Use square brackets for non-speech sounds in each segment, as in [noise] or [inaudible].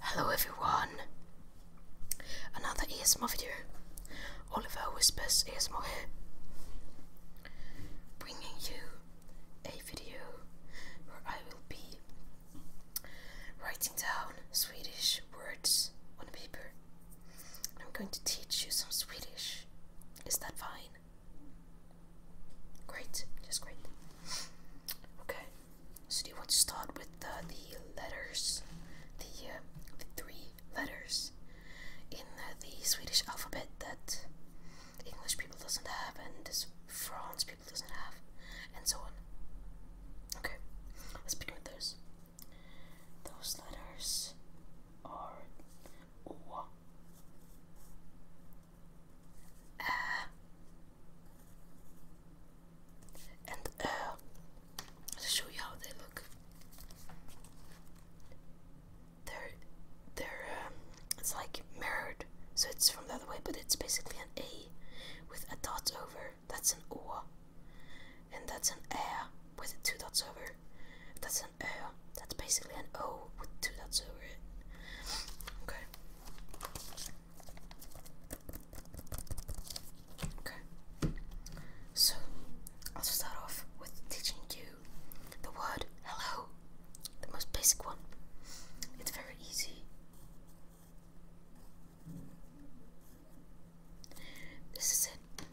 Hello everyone! Another ASMR video. Oliver Whispers ASMR here. Bringing you a video where I will be writing down Swedish words on paper. I'm going to teach you some Swedish. Is that fine? Great, just great. Okay, so do you want to start with uh, the letters, uh, the, three letters in uh, the Swedish alphabet that English people doesn't have and French people doesn't have, and so on. Okay, let's begin with those. Those letters are O, uh, and uh, to show you how they look. They're they're um, it's like mirrored, so it's from the other way, but it's basically an A with a dot over. That's an O, and that's an A with two dots over. That's an O. That's basically an O with two dots over it. Okay. Okay. So, I'll start off with teaching you the word hello, the most basic one. It's very easy. This is it.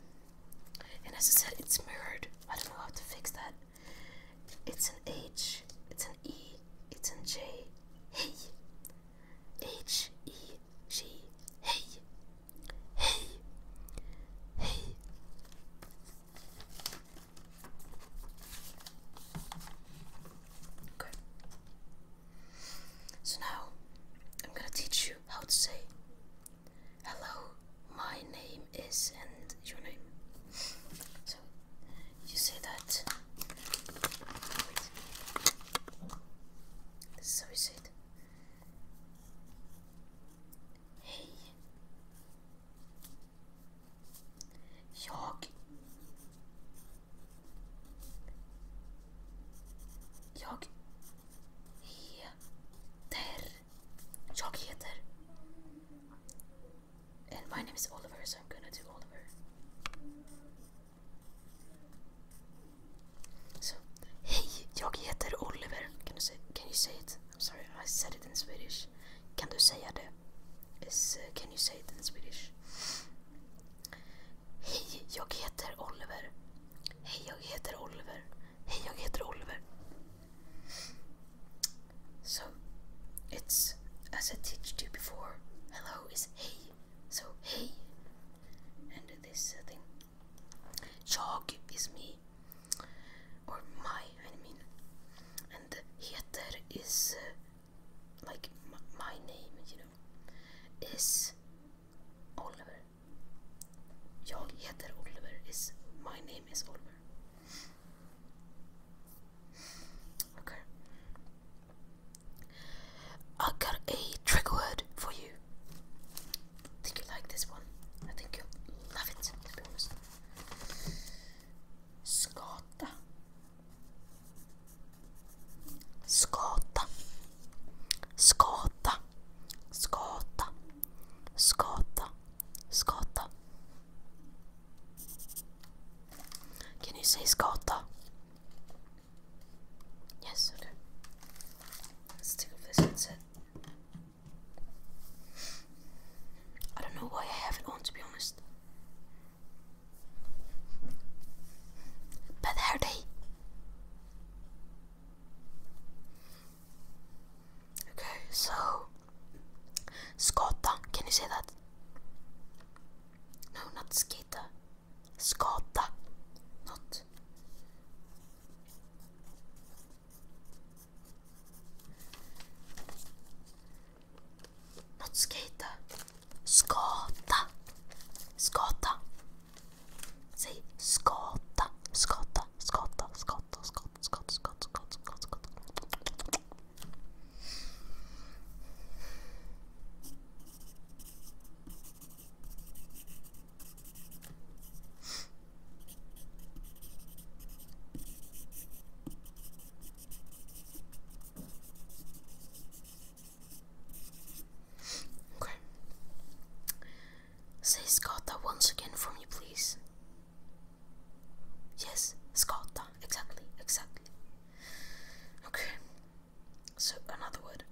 And as I said, it's mirrored. I don't know how to fix that. It's an H, it's an E, it's an J. Hey, H E G. Hey, hey, hey. Okay. So now I'm gonna teach you how to say hello. My name is and your name. So you see that? This is how you say it. Hej. Jag. Jag heter. Jag heter. And my name is Oliver, so I'm gonna do Oliver. So, hej, jag heter Oliver. Can you, say, can you say it? I'm sorry, I said it in Swedish. Kan du säga det? Is, uh, can you say it in Swedish? Hej, jag heter Oliver. Hej, jag heter Oliver. Hej, jag heter Oliver. So it's as I teached you before. Hello is hey, so hey, and this uh, thing. Jag is me, or my, I mean, and heter is uh, like my name, you know, is Oliver. Jag heter Oliver is my name is Oliver. Okay. I got a trigger word for you. think you like this one. I think you love it, to be honest. Skata. Skata. Skata. Can you say skata? Yes, Let's take off this headset. I don't know why I have it on to be honest. Bad hair Okay, so skata, can you say that? No, not skata. Skata. Not not skata. Skata. Skata. Say skata. Skata. Skata. Skata scotta, scotta, scotta, scotta, scotta, scotta, scotta. Okay. Say Scotta once again for me, please. Yes, Scotta. Exactly, exactly. Okay. So, another word.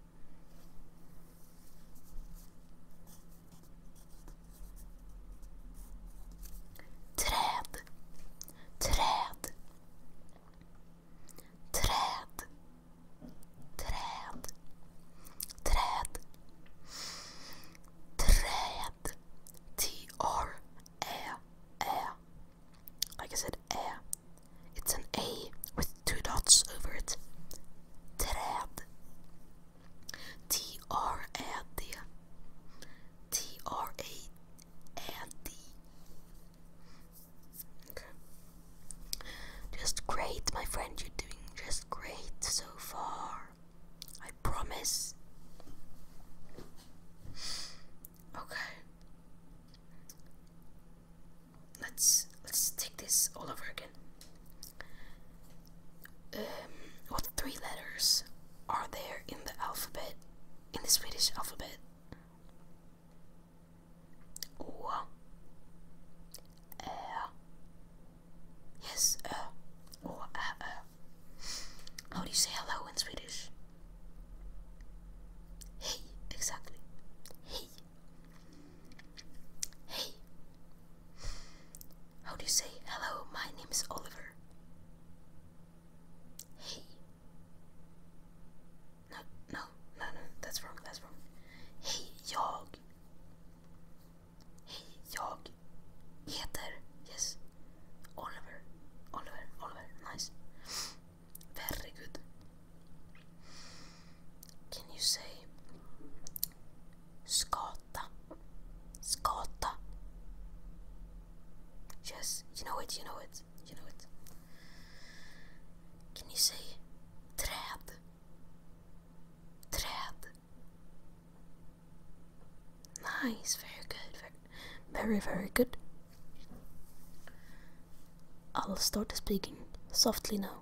Träd. Träd. Träd träd träd träd T R A A like I said A it's an A with two dots over it träd T R A D T R A D Okay. Just great, my friend. You're doing just great so far. I promise. Okay. Let's let's take this all over again. Um, what three letters are there in the alphabet? In the Swedish alphabet? Or Yes, uh. Or uh, uh. How do you say hello in Swedish? Hey, exactly. Hey. Hey. How do you say hello? My name is Oliver. Hey. No, no, no, no, that's wrong, that's wrong. Hej, jag. Hej, jag heter, yes, Oliver, Oliver, Oliver, nice. Very good. Can you say skata, skata? Yes, you know it, you know it, you know it. Can you say Träd. Träd. Nice, very good. Very, very good. I'll start speaking softly now.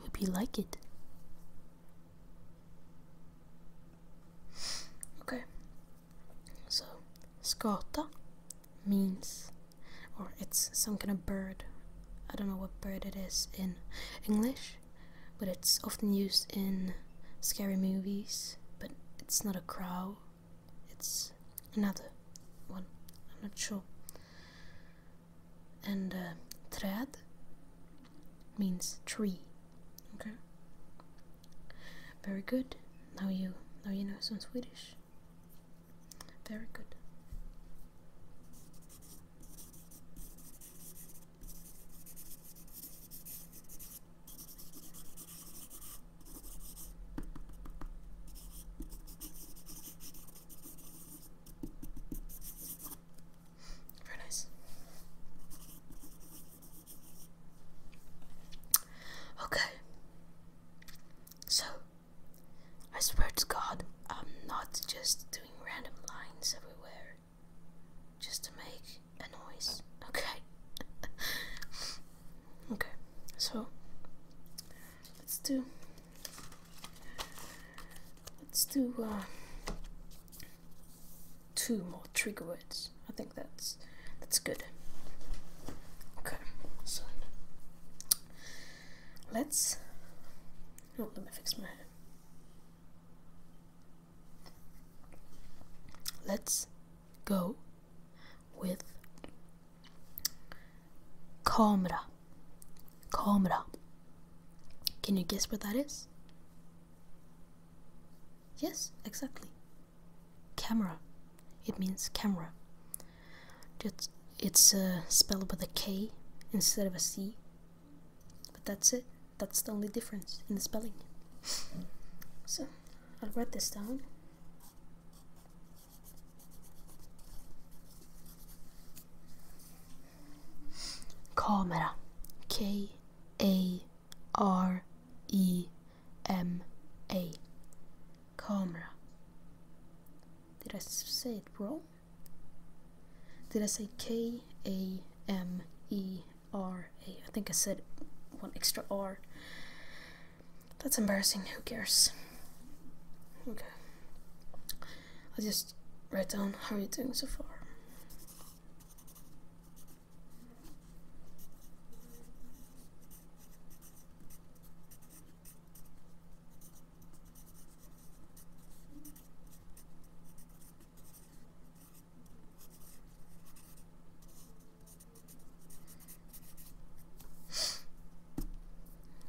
Hope you like it. Okay. So, skata means or it's some kind of bird. I don't know what bird it is in English, but it's often used in scary movies. But it's not a crow, it's another one. I'm not sure. And uh, träd means tree. Okay. Very good. Now you now you know some Swedish. Very good. Very nice. Okay. So, I swear to God, I'm not just doing random lines everywhere just to make a noise. Okay. [laughs] okay. So, let's do. Let's do uh, two more trigger words. I think that's that's good. Okay, so let's. Oh, let me fix my hair. Let's go with camera. Camera. Can you guess what that is? Yes, exactly. Camera. It means camera. Just it's spelled with a K instead of a C. But that's it. That's the only difference in the spelling. so I'll write this down. Camera. K A R E M A. Camera. Did I say it wrong? Did I say K A M E R A? I think I said one extra R. That's embarrassing. Who cares? Okay. I'll just write down how are you doing so far.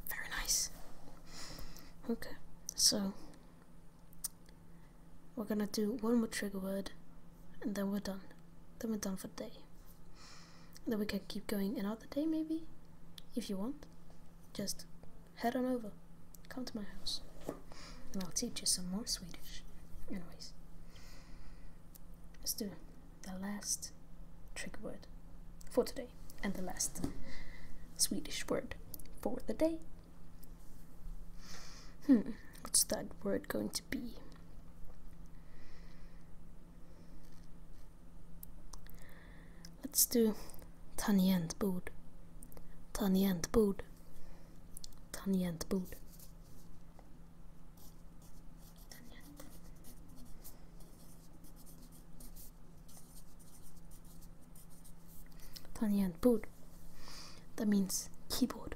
Very nice. Okay, so we're gonna do one more trigger word and then we're done. Then we're done for the day. then we can keep going another day maybe? If you want. Just head on over. Come to my house. And I'll teach you some more Swedish. Anyways. Let's do the last trigger word for today. And the last Swedish word for the day. Hmm what's that word going to be? Let's do tangentbord. Tangentbord. Tangentbord. Tangentbord. That means keyboard.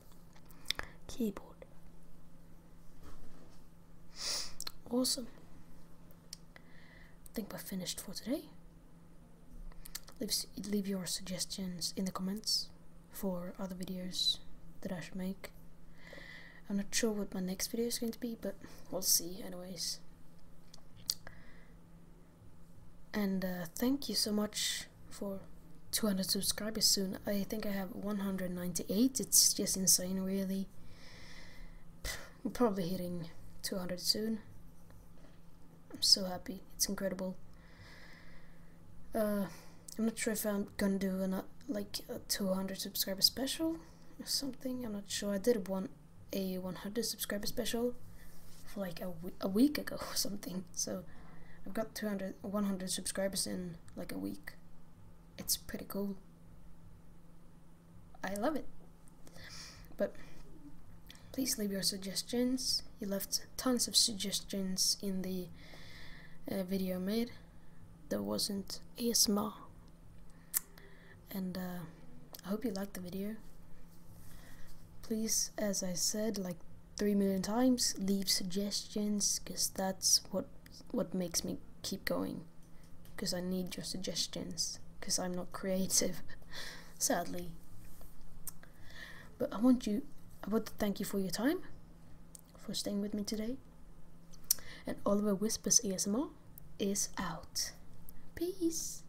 keyboard. Awesome. I think we're finished for today. Leave, leave your suggestions in the comments for other videos that I should make. I'm not sure what my next video is going to be, but we'll see anyways. And uh, thank you so much for 200 subscribers soon. I think I have 198. It's just insane, really. We're probably hitting 200 soon. I'm so happy. It's incredible. Uh, I'm not sure if I'm gonna do a uh, like a 200 subscriber special or something. I'm not sure. I did one a 100 subscriber special for like a, a week ago or something. So I've got 200, 100 subscribers in like a week. It's pretty cool. I love it. But please leave your suggestions. You left tons of suggestions in the uh, video made. that wasn't ASMR. And uh, I hope you liked the video. Please, as I said like 3 million times, leave suggestions because that's what, what makes me keep going. Because I need your suggestions because I'm not creative, [laughs] sadly. But I want you, I want to thank you for your time, for staying with me today. And Oliver Whispers ASMR is out. Peace.